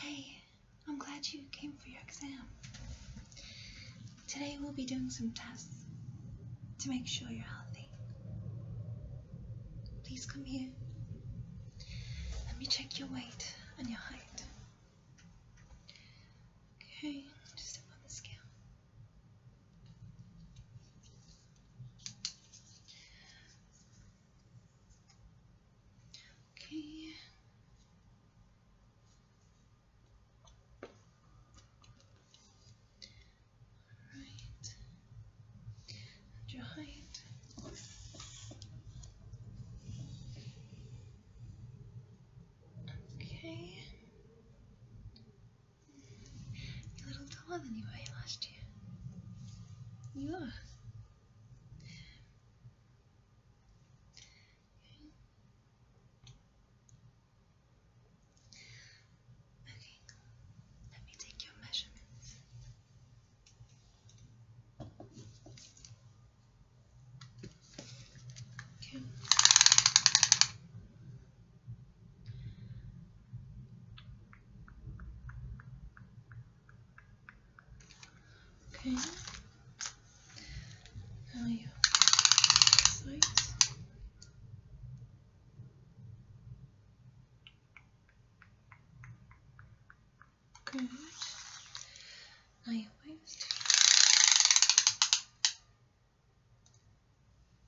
Hey, I'm glad you came for your exam. Today we'll be doing some tests to make sure you're healthy. Please come here. Let me check your weight and your height. Okay, just up on the scale. Okay. All right. your height. Okay. You're a little taller than you were last year. You are. Okay, let me take your measurements. Okay. Okay. Now you have sides. Good. Now your waist.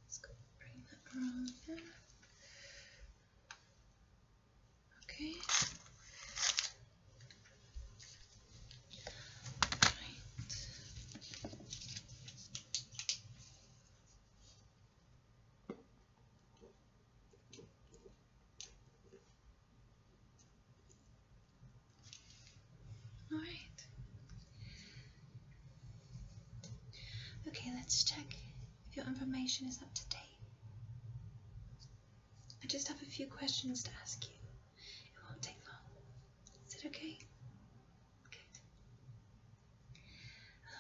Let's bring that around Okay. All right. Okay, let's check if your information is up to date. I just have a few questions to ask you. It won't take long. Is it okay? Good.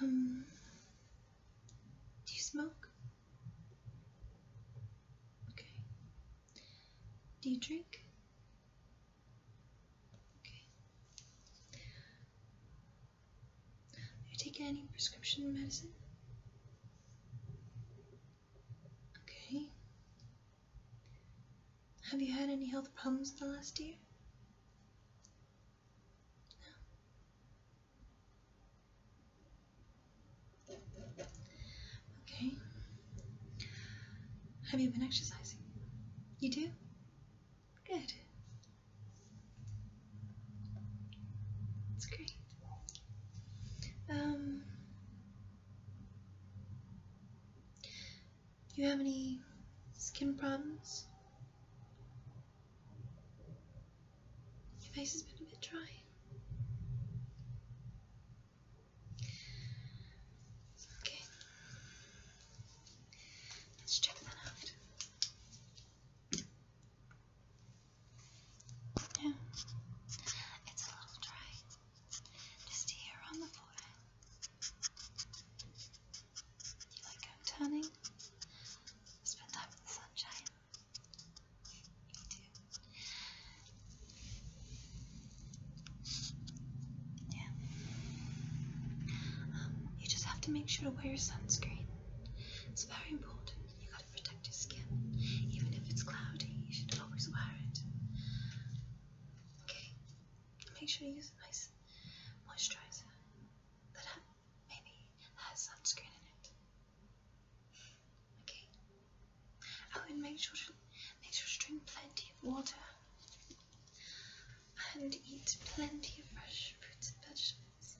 Um, do you smoke? Okay. Do you drink? Okay. Have you taken any prescription medicine? Okay. Have you had any health problems in the last year? No. Okay. Have you been exercising? You do? Good. It's great. Um, do you have any skin problems? Your face has been a bit dry. Okay. Let's check that out. Yeah, it's a little dry. Just here on the forehead. You like I'm turning? Spend time in the sunshine. Me too. Yeah. Um, you just have to make sure to wear sunscreen. It's very important. You gotta protect your skin. Even if it's cloudy, you should always wear it. Okay? Make sure you use a nice moisturizer that maybe has sunscreen in it. Okay? Oh, and make sure to make sure to drink plenty of water and eat plenty of fresh fruits and vegetables.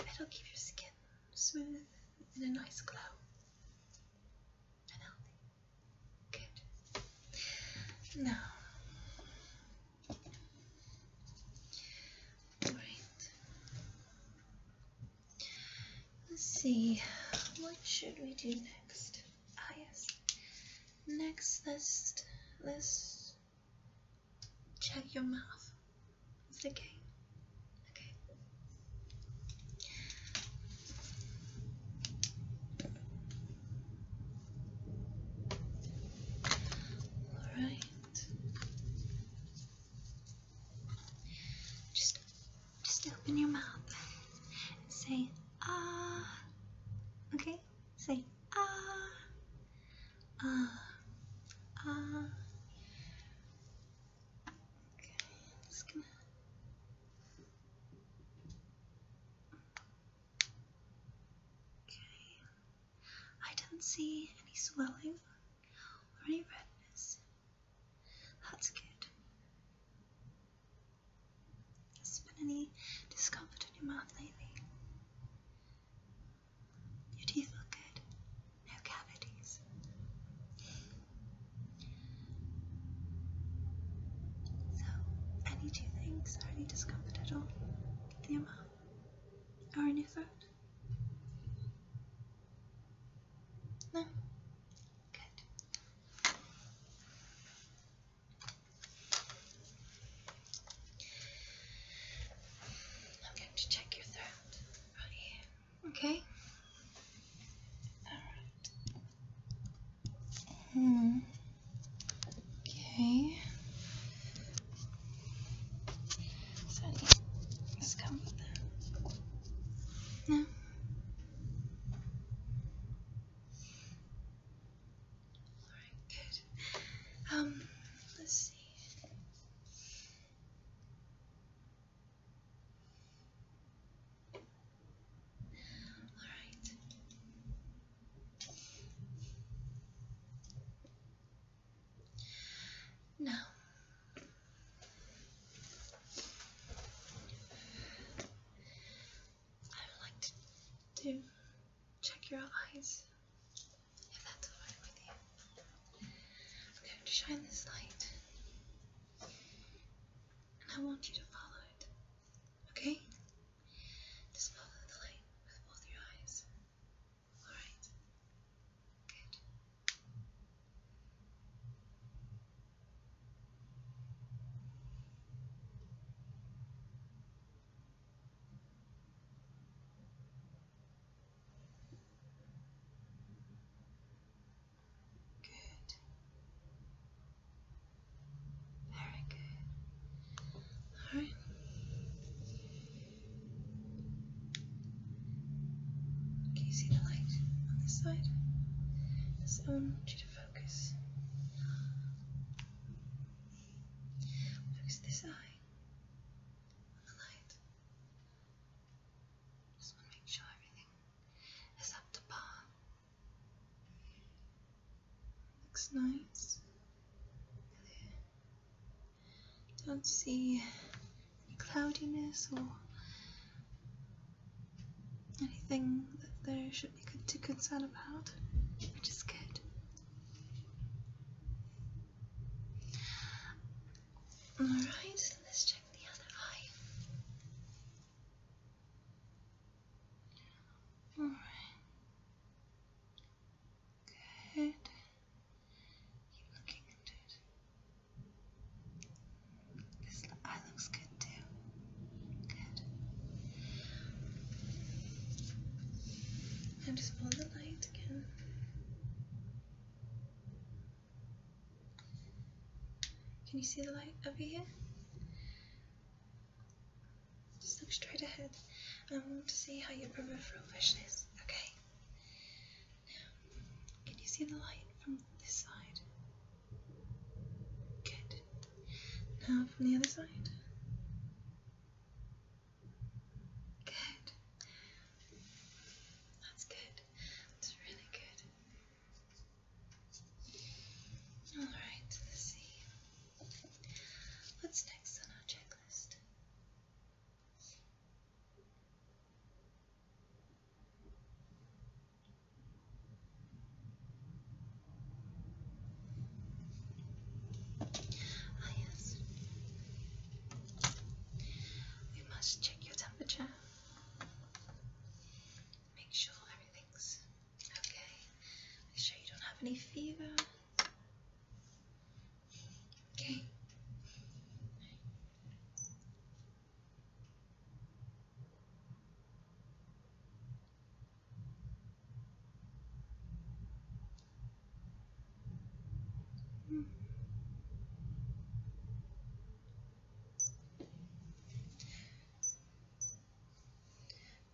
It'll keep your skin smooth and a nice glow. And healthy. Good. Now. Right. Let's see. What should we do next? Ah, yes. Next, list. List. Check your mouth. It's okay. Okay. All right. Just, just open your mouth and say ah. Okay. Say ah, ah, ah. Okay, I'm just gonna. Okay, I don't see any swelling or any redness. That's good. Has been any discomfort in your mouth lately? Your teeth look good. No cavities. So, any two things or any discomfort at all in your mouth or in your throat? No? Good. I'm going to check your throat right here. Okay. Alright. Hmm. Okay. So let come with that. No. Alright, good. Um, let's see. Alright. Now, I would like to, to check your eyes. If that's alright with you, I'm going to shine this light. And I want you to follow it. Okay? Just follow the light with both your eyes. Alright? Good. Good. Very good. All right. Can you see the light on this side? This one wants you to focus Focus this eye the light. Just want to make sure everything is up to par. Looks nice. Clear. Don't see any cloudiness or anything that there should be good to concern about, which is good. All right, let's check the other eye. All right. Good. Keep looking into This eye looks good too. Good. And just follow the light again. Can you see the light over here? Just look straight ahead. And I want to see how your peripheral vision is, okay? Now, can you see the light from this side? Good. Now from the other side. Good. That's good. That's really good. Alright, see. What's next on our checklist? Ah, yes. We must check your temperature. Make sure everything's okay. Make sure you don't have any fever. Okay.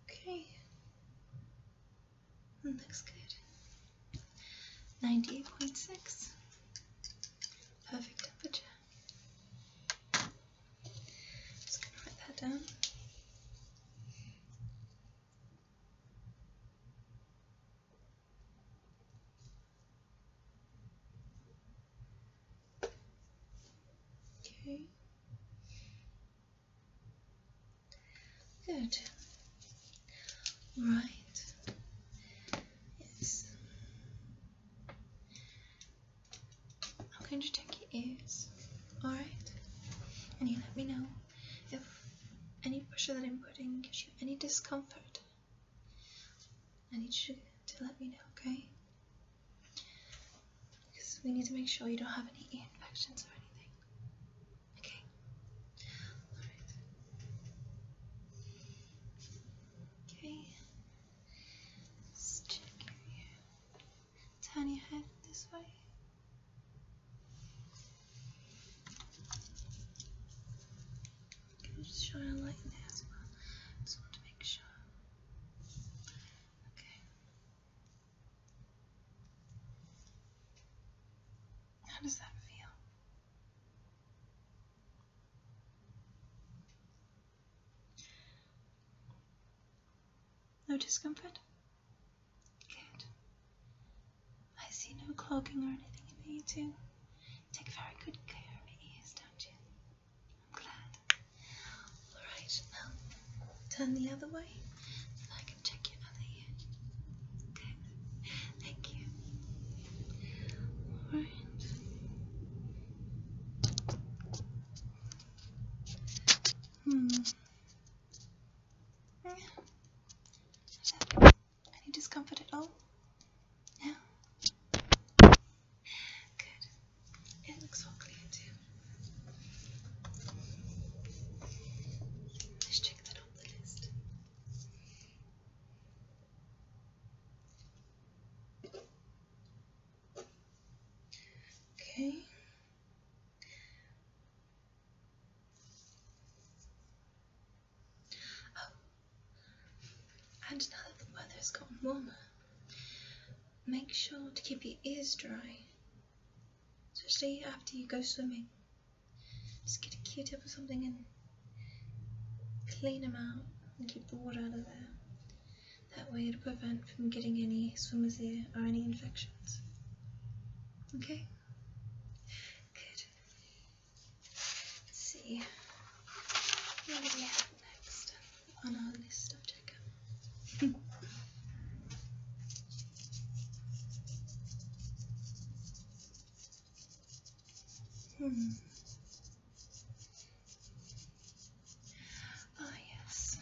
Okay, looks good. Ninety-eight point six, perfect temperature. Just gonna write that down. Okay. Good. Right. Yes. I'm going to check your ears. Alright? And you let me know if any pressure that I'm putting gives you any discomfort, I need you to let me know, okay? Because we need to make sure you don't have any infections or anything. Okay? Alright. Okay. Let's check here. Turn your head this way. Can just shine a light in there as well. Just want to make sure. Okay. How does that feel? No discomfort? Good. I see no cloaking or anything in there, you two. Take very good care of your ears, don't you? I'm glad. Alright, now turn the other way and I can check your other ear. Okay, thank you. Alright. Hmm. Any discomfort at all? No? Good. It looks all clear too. Let's check that off the list. Okay. Oh, and now that the weather's gotten warmer, make sure to keep your ears dry, especially after you go swimming. Just get a Q-tip or something and clean them out and keep the water out of there. That way it'll prevent from getting any swimmer's ear or any infection. Okay? Good. Let's see. What do we have next on our list of checkup? hmm. Ah, yes.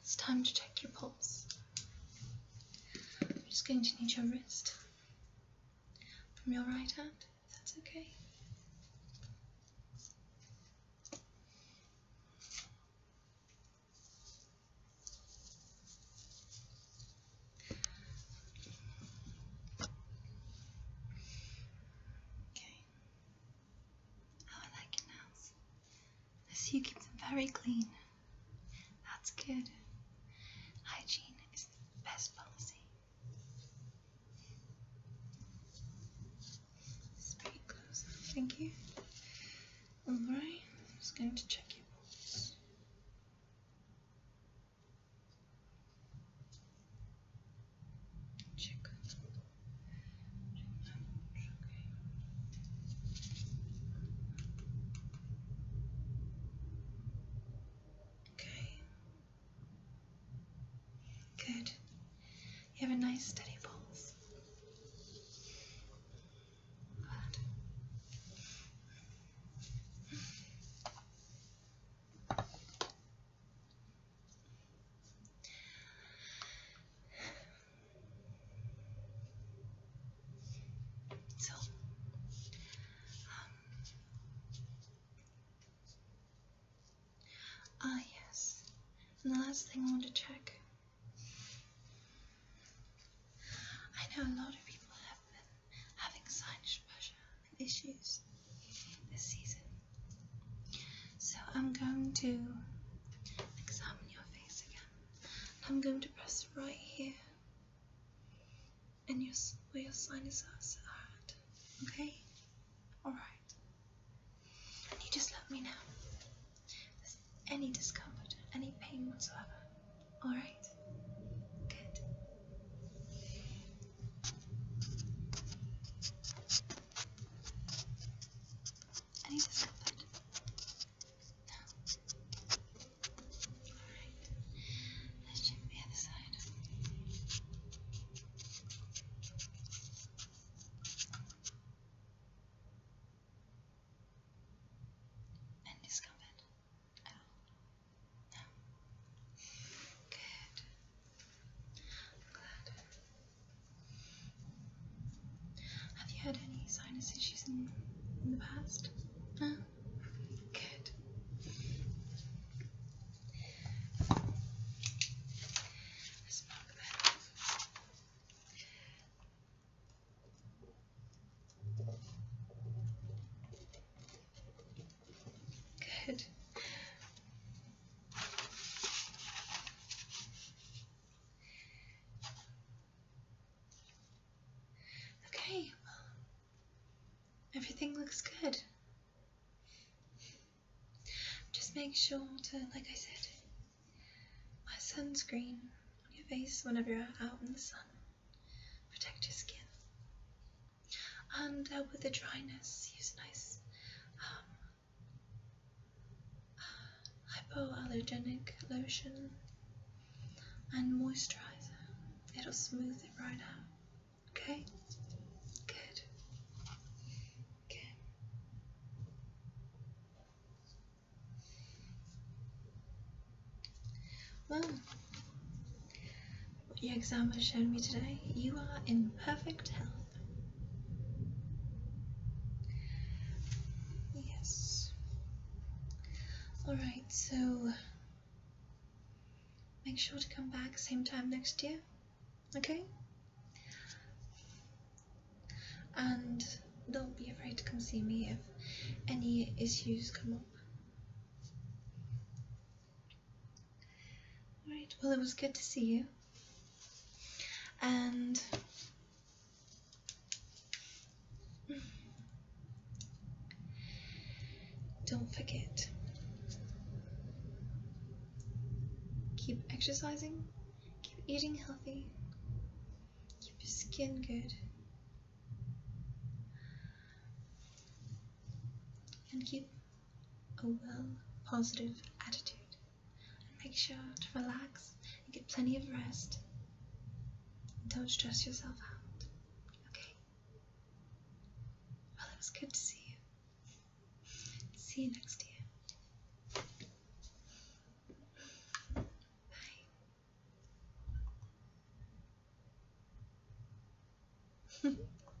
It's time to check your pulse. I'm just going to need your wrist from your right hand, that's okay. Okay. I oh, like it now. I see you keep them very clean. That's good. Hygiene is the best policy. It's pretty thank you. Alright, I'm just going to check your pulse. Chicken. Okay. Good. You have a nice steady pulse. Glad. So, um, ah, yes, and the last thing I want to check. I know a lot of people have been having sinus pressure issues this season. So I'm going to examine your face again. I'm going to press right here and your, where your sinuses are at. Okay? Alright. And you just let me know there's any discomfort, any pain whatsoever. Alright? Good. I need this covered. No. Alright. Let's check the other side. And it's covered. Oh. No. Good. Have you had any sinus issues in, in the past? No? Good. Good. Okay, well, everything looks good. Just make sure to, like I said, wear sunscreen on your face whenever you're out in the sun. Protect your skin. And dealt uh, with the dryness, use a nice um, uh, hypoallergenic lotion and moisturizer. It'll smooth it right out. Okay? Good. Okay. Well, your exam has shown me today, you are in perfect health. Yes. Alright, so make sure to come back same time next year, okay? And don't be afraid to come see me if any issues come up. All right. Well, it was good to see you. And don't forget. Keep exercising. Keep eating healthy. Keep your skin good. And keep a well, positive attitude. And make sure to relax and get plenty of rest. don't stress yourself out. Okay? Well, it was good to see you. See you next year. Bye.